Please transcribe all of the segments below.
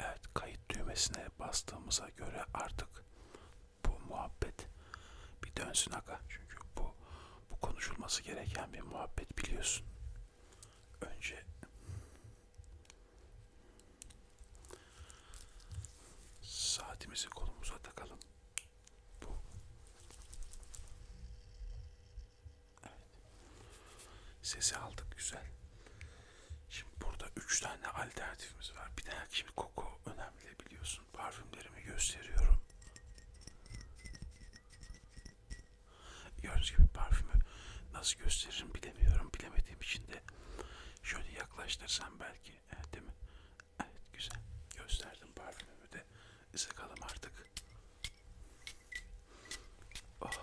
Evet kayıt düğmesine bastığımıza göre artık bu muhabbet bir dönsün aga. Çünkü bu, bu konuşulması gereken bir muhabbet biliyorsun. Önce saatimizi kolumuza takalım. Bu Evet. Sesi aldık güzel. Şimdi burada üç tane alternatifimiz var. Bir tane şimdi koku önemli biliyorsun. Parfümlerimi gösteriyorum. Gördüğünüz gibi parfümü nasıl gösteririm bilemiyorum. Bilemediğim için de şöyle yaklaştırsam belki. Evet, değil mi? Evet güzel. Gösterdim parfümümü de. Sakalım artık. Allah'ım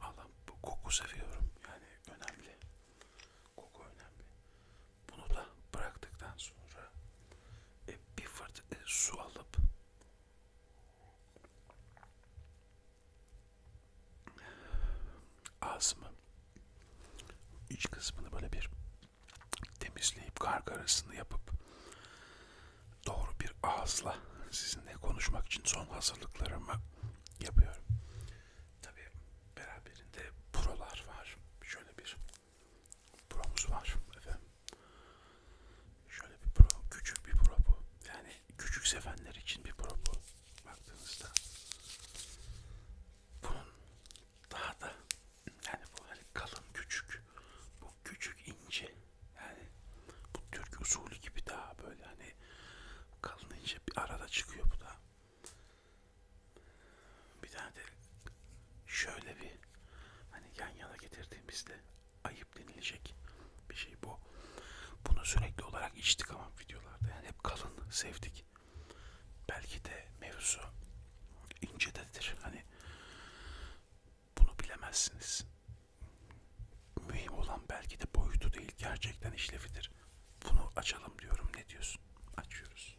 ah. ah bu koku seviyorum. Yani önemli. Koku önemli. Bunu da bıraktıktan sonra e, bir fırt e, su alıp ağzımı iç kısmını böyle bir temizleyip karga arasını yapıp doğru bir ağızla sizinle konuşmak için son hazırlıklarımı yapıyorum. Tabii beraberinde prolar var. Şöyle bir promuz var efendim. Şöyle bir pro, küçük bir pro bu. Yani küçük sevenler için bir pro bu. Baktığınızda bunun daha da yani bu hani kalın küçük, bu küçük ince yani bu Türk usulü gibi daha böyle hani kalın ince bir arada çıkıyor bu da. Bir tane de şöyle bir hani yan yana getirdiğimizde ayıp denilecek bir şey bu. Bunu sürekli olarak içtik ama videolarda yani hep kalın sevdik. Belki de mevzu incededir. Hani bunu bilemezsiniz. Mühim olan belki de boyutu değil, gerçekten işlevidir. Bunu açalım diyorum. Ne diyorsun? Açıyoruz.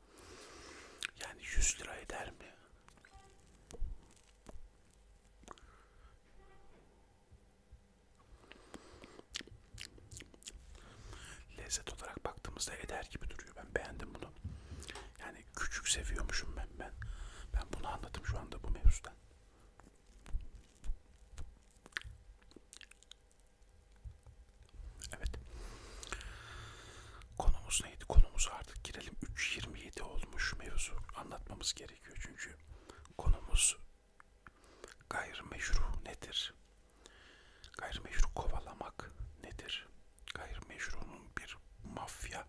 Yani 100 lira eder mi? Lezzet olarak baktığımızda eder gibi duruyor. Ben beğendim bunu. Yani küçük seviyormuşum ben. Ben, ben bunu anladım şu anda bu mevzudan. Evet. Konumuz neydi? Konumuz artık girelim. 3.27 olmuş mevzu. Anlatmamız gerekiyor çünkü. Konumuz gayrimeşru nedir? Gayrimeşru kovalamak nedir? Gayrimeşrunun bir mafya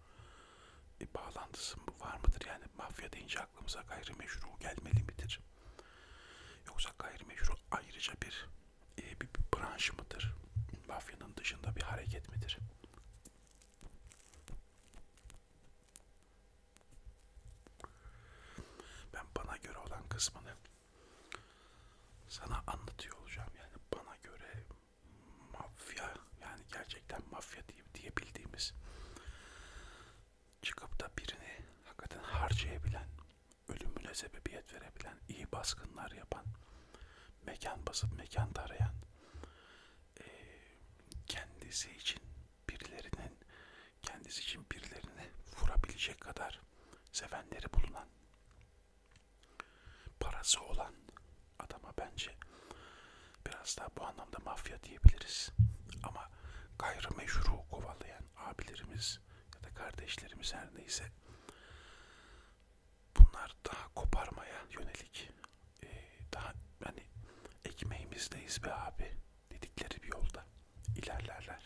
bir bağlantısı var mıdır? Yani mafya deyince aklımıza gayrimeşru gelmeli midir? Yoksa gayrimeşru ayrıca bir e, bir, bir branş mıdır? Mafyanın dışında bir hareket midir? Ben bana göre olan kısmını sana anlatıyor olacağım. Yani bana göre mafya yani gerçekten mafya diye, diyebildiğimiz çıkıp da birini hakikaten harcayabilen ölümüne sebebiyet verebilen, iyi baskınlar yapan, mekan basıp mekan tarayan, e, kendisi için birilerinin, kendisi için birilerini vurabilecek kadar sevenleri bulunan, parası olan adama bence biraz daha bu anlamda mafya diyebiliriz. Ama gayrimeşru kovalayan abilerimiz ya da kardeşlerimiz her neyse bunlar daha koparmaya yönelik e, daha hani ekmeğimizdeyiz be abi dedikleri bir yolda ilerlerler.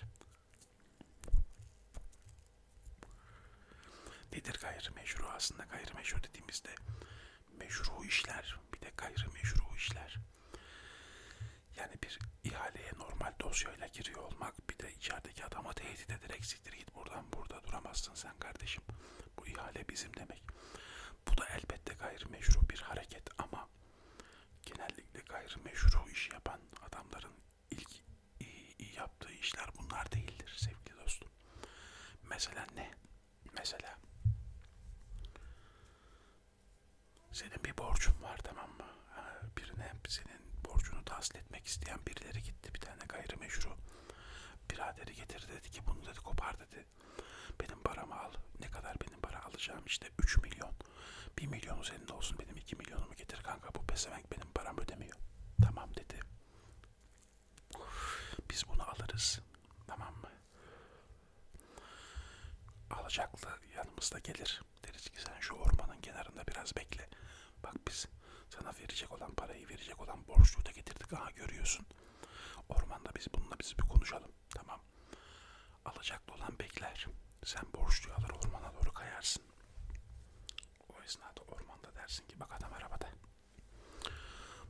Nedir gayrimeşru? Aslında gayrimeşru dediğimizde meşru işler, bir de gayrimeşru işler. Yani bir ihaleye normal dosyayla giriyor olmak, bir de içerideki adama tehdit ederek siktir git buradan burada duramazsın sen kardeşim. Bu ihale bizim demek. Bu da elbette gayrimeşru bir hareket ama genellikle gayrimeşru iş yapan adamların ilk iyi, iyi yaptığı işler bunlar değildir sevgili dostum. Mesela ne? Mesela senin bir borcun var tamam mı? birine senin borcunu tahsil etmek isteyen birileri gitti bir tane gayrimeşru biraderi getirdi dedi ki bunu dedi kopar dedi benim paramı al ne kadar benim para alacağım işte 3 milyon 1 milyonu senin olsun benim 2 milyonumu getir kanka bu pesevenk benim param ödemiyor tamam dedi biz bunu alırız tamam mı alacaklı yanımızda gelir Deriz ki sen şu ormanın kenarında biraz bekle. Bak biz sana verecek olan parayı verecek olan borçluğu da getirdik. Aha görüyorsun. Ormanda biz bununla biz bir konuşalım. Tamam. Alacaklı olan bekler. Sen borçluyu alır ormana doğru kayarsın. O esnada ormanda dersin ki bak adam arabada.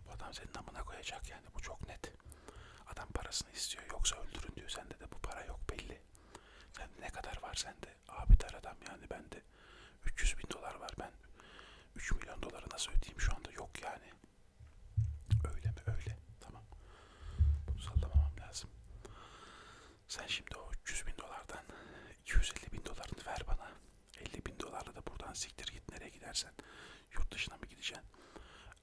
Bu adam senin amına koyacak yani bu çok net. Adam parasını istiyor yoksa öldürün diyor. Sende de bu para yok belli. 50. Sen ne kadar var sende? Abi dar adam yani bende 300 bin dolar var ben 3 milyon doları nasıl ödeyeyim şu anda yok yani. Öyle mi öyle tamam. Bunu sallamamam lazım. Sen şimdi o 300 bin dolardan 250 bin dolarını ver bana. 50 bin dolarla da buradan siktir git nereye gidersen. Yurt dışına mı gideceksin?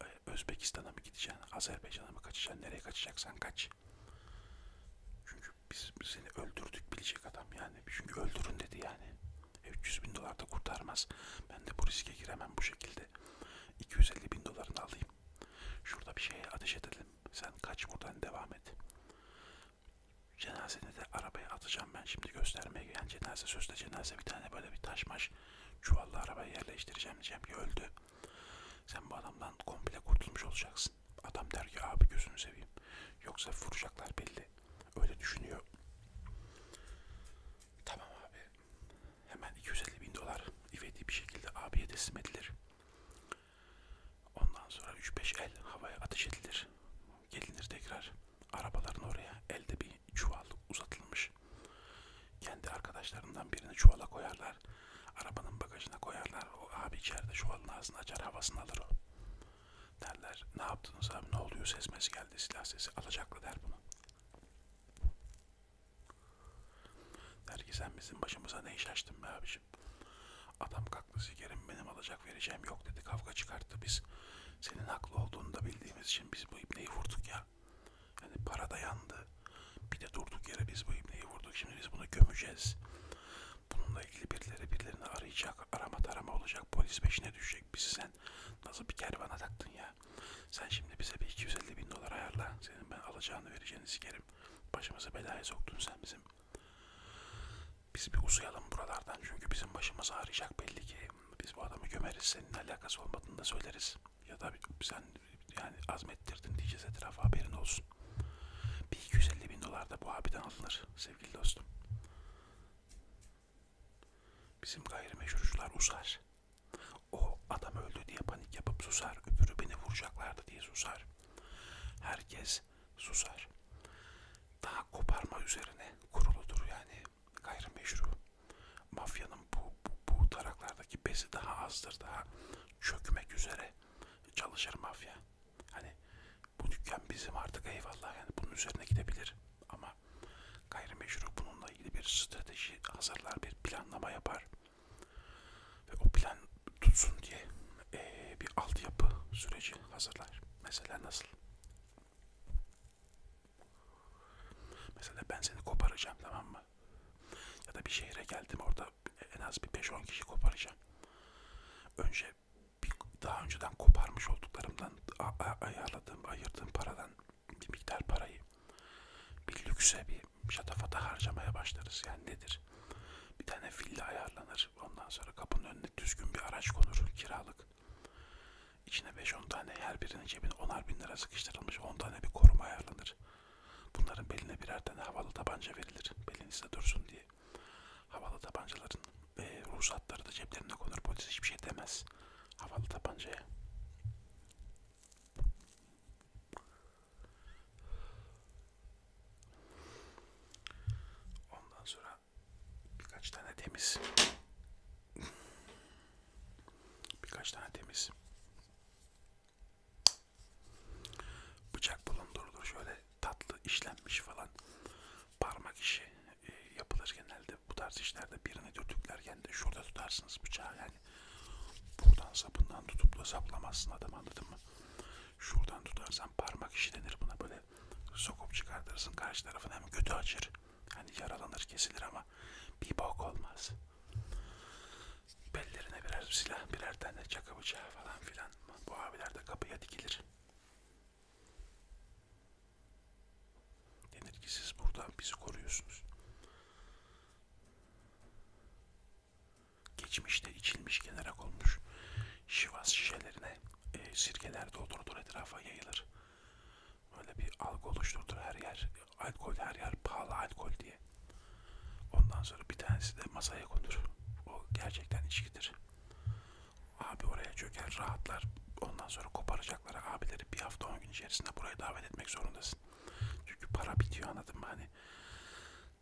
Ee, Özbekistan'a mı gideceksin? Azerbaycan'a mı kaçacaksın? Nereye kaçacaksan kaç. Çünkü biz seni öldürdük bilecek adam yani. Çünkü öldürün dedi yani. 300 e, bin dolar da kurtarmaz. Ben de bu riske giremem bu şekilde. 250 bin dolarını alayım. Şurada bir şeye ateş edelim. Sen kaç buradan devam et. Cenazeni de arabaya atacağım ben şimdi göstermeye gelen yani cenaze sözde cenaze bir tane böyle bir taş maş çuvallı arabaya yerleştireceğim diyeceğim ki öldü. Sen bu adamdan komple kurtulmuş olacaksın. Adam der ki abi gözünü seveyim. Yoksa vuracaklar belli. Öyle düşünüyor. Tamam abi. Hemen 250 bin dolar ivedi bir şekilde abiye teslim edilir. Ondan sonra 3-5 el havaya ateş edilir. Gelinir tekrar arabaların oraya elde bir çuval uzatılmış. Kendi arkadaşlarından birini çuvala koyarlar. Arabanın bagajına koyarlar. O abi içeride şu alın ağzını açar havasını alır o. Derler ne yaptınız abi ne oluyor sesmesi geldi silah sesi alacaklı der bunu. Der ki sen bizim başımıza ne iş açtın be abicim. Adam kalktı sigarim benim alacak vereceğim yok dedi kavga çıkarttı biz. Senin haklı olduğunu da bildiğimiz için biz bu ipneyi vurduk ya. Yani para da yandı, bir de durduk yere biz bu ibneyi vurduk. Şimdi biz bunu gömeceğiz. Bununla ilgili birileri birilerini arayacak. Arama tarama olacak. Polis peşine düşecek. Bizi sen nasıl bir kervana taktın ya. Sen şimdi bize bir 250 bin dolar ayarla. Senin ben alacağını vereceğini sikerim. Başımızı belaya soktun sen bizim. Biz bir uzayalım buralardan. Çünkü bizim başımız ağrıyacak belli ki. Biz bu adamı gömeriz. Senin alakası olmadığını da söyleriz ya da sen yani azmettirdin diyeceğiz etrafa haberin olsun. Bir 250 bin dolar da bu abiden alınır sevgili dostum. Bizim gayrimeşrucular usar. O adam öldü diye panik yapıp susar. Öbürü beni vuracaklardı diye susar. Herkes susar. Daha koparma üzerine kuruludur yani gayrimeşru. Mafyanın bu, bu, bu taraklardaki besi daha azdır, daha çökmek üzere çalışır mafya. Hani bu dükkan bizim artık eyvallah yani bunun üzerine gidebilir ama gayrimeşru bununla ilgili bir strateji hazırlar, bir planlama yapar ve o plan tutsun diye ee, bir altyapı süreci hazırlar. Mesela nasıl? Mesela ben seni koparacağım tamam mı? Ya da bir şehre geldim orada en az bir 5-10 kişi koparacağım. Önce bir, daha önceden koparmış olduklarımdan ayarladığım, ayırdığım paradan bir miktar parayı bir lükse bir şatafata harcamaya başlarız. Yani nedir? Bir tane villa ayarlanır. Ondan sonra kapının önüne düzgün bir araç konur kiralık. İçine 5-10 tane her birinin cebine 10'ar bin lira sıkıştırılmış 10 tane bir koruma ayarlanır. Bunların beline birer tane havalı tabanca verilir. Belinizde dursun diye. Havalı tabancaların e, ruhsatları da ceplerine konur. Polis hiçbir şey demez. Havalı tabancaya. Ondan sonra birkaç tane temiz birkaç tane temiz Bıçak bulundurulur şöyle tatlı işlenmiş falan parmak işi e, yapılır genelde bu tarz işlerde birini dürtüklerken de şurada tutarsınız bıçağı yani buradan sapından tutup da saplamazsın adam anladın mı? Şuradan tutarsan parmak işi denir buna böyle sokup çıkartırsın karşı tarafın hem kötü açır hani yaralanır kesilir ama ama bir bok olmaz. Bellerine birer silah, birer tane çaka bıçağı falan filan. Bu abiler de kapıya dikilir. Denir ki siz buradan bizi koruyorsunuz. Geçmişte içilmiş kenara konmuş şivas şişelerine e, sirkeler doldurulur etrafa yayılır. Böyle bir algı oluşturur her yer alkol her yer pahalı alkol diye. Ondan sonra bir tanesi de masaya konur. O gerçekten içkidir. Abi oraya çöker rahatlar. Ondan sonra koparacaklar abileri bir hafta on gün içerisinde buraya davet etmek zorundasın. Çünkü para bitiyor anladın mı hani.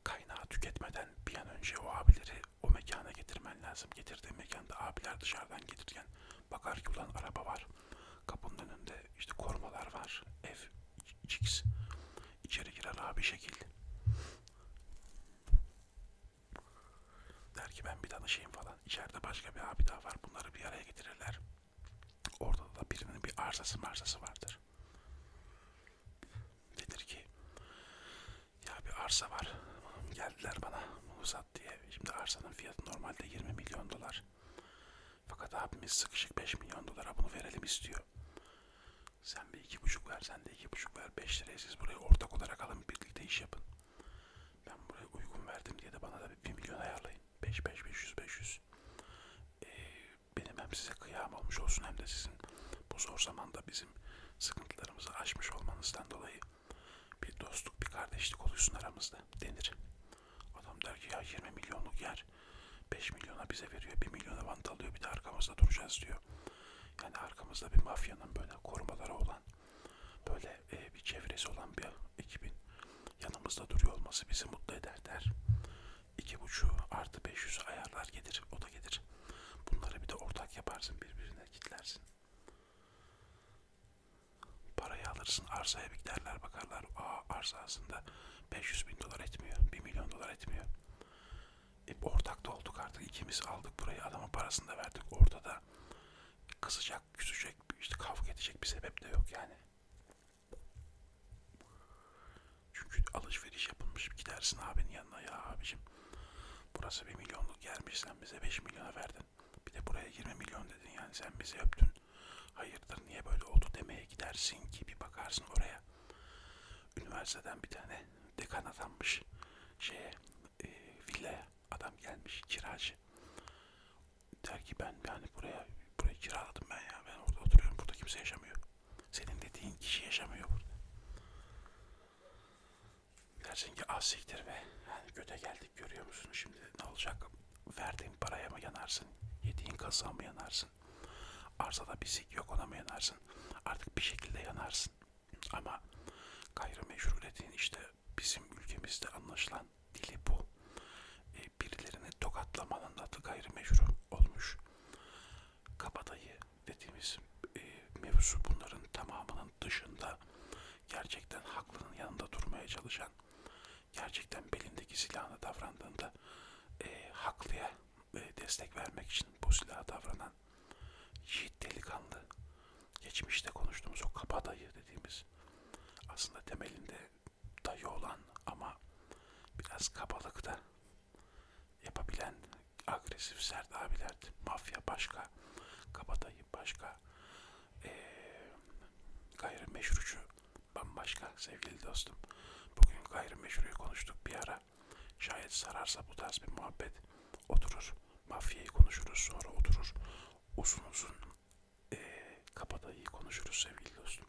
Kaynağı tüketmeden bir an önce o abileri o mekana getirmen lazım. Getirdiğin mekanda abiler dışarıdan gelirken bakar ki ulan araba var. Kapının önünde işte korumalar var. Ev X. İçeri girer abi şekil. Der ki ben bir danışayım falan. İçeride başka bir abi daha var. Bunları bir araya getirirler. Orada da birinin bir arsası marsası vardır. Denir ki ya bir arsa var. Geldiler bana uzat diye. Şimdi arsanın fiyatı normalde 20 milyon dolar. Fakat abimiz sıkışık 5 milyon dolara bunu verelim istiyor. Sen bir iki buçuk ver, sen de iki buçuk ver. Beş liraya siz burayı ortak olarak alın, birlikte iş yapın. Ben buraya uygun verdim diye de bana da bir milyon ayarlayın. Beş, beş, beş yüz, beş yüz. Ee, benim hem size kıyam olmuş olsun hem de sizin bu zor zamanda bizim sıkıntılarımızı aşmış olmanızdan dolayı bir dostluk, bir kardeşlik oluşsun aramızda denir. Adam der ki ya 20 milyonluk yer 5 milyona bize veriyor. 1 milyona vant alıyor. Bir de arkamızda duracağız diyor. Yani arkamızda bir mafyanın böyle korumaları olan böyle e, bir çevresi olan bir ekibin yanımızda duruyor olması bizi mutlu eder der. 2.5 artı 500 ayarlar gelir. O da gelir. Bunları bir de ortak yaparsın birbirine kitlersin. Parayı alırsın arsaya bir giderler bakarlar. Aa arsa aslında 500 bin dolar etmiyor. 1 milyon dolar etmiyor. E, ortak da olduk artık. ikimiz aldık burayı. Adama parasını da verdik. Ortada kızacak, küsecek, işte kavga edecek bir sebep de yok yani. Çünkü alışveriş yapılmış. Gidersin abinin yanına ya abicim. Burası bir milyonluk yermiş sen bize 5 milyona verdin. Bir de buraya 20 milyon dedin yani sen bizi öptün hayırdır niye böyle oldu demeye gidersin ki bir bakarsın oraya üniversiteden bir tane dekan atanmış şeye e, villaya adam gelmiş kiracı der ki ben yani buraya burayı kiraladım ben ya ben orada oturuyorum burada kimse yaşamıyor senin dediğin kişi yaşamıyor burada dersin ki ah siktir be yani göte geldik Üstelik görüyor musun şimdi ne olacak? Verdiğin paraya mı yanarsın? Yediğin kazığa mı yanarsın? Arsada bir sik yok ona mı yanarsın? Artık bir şekilde yanarsın. Ama gayrimeşru dediğin işte bizim ülkemizde anlaşılan dili bu. E, birilerini tokatlamanın adı gayrimeşru olmuş. Kabadayı dediğimiz e, mevzu bunların tamamının dışında gerçekten haklının yanında durmaya çalışan gerçekten belindeki silahına davrandığında e, haklıya e, destek vermek için bu silaha davranan yiğit delikanlı geçmişte konuştuğumuz o kabadayı dediğimiz aslında temelinde dayı olan ama biraz kabalıkta yapabilen agresif sert abilerdi. Mafya başka, kabadayı başka, e, ee, gayrimeşrucu bambaşka sevgili dostum. Bugün gayrimeşruyu konuştuk bir ara. Şayet sararsa bu tarz bir muhabbet oturur. Mafyayı konuşuruz sonra oturur. Uzun uzun e, ee, kapadayı konuşuruz sevgili dostum.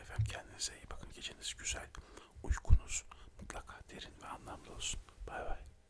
Efendim kendinize iyi bakın. Geceniz güzel. Uykunuz mutlaka derin ve anlamlı olsun. Bay bay.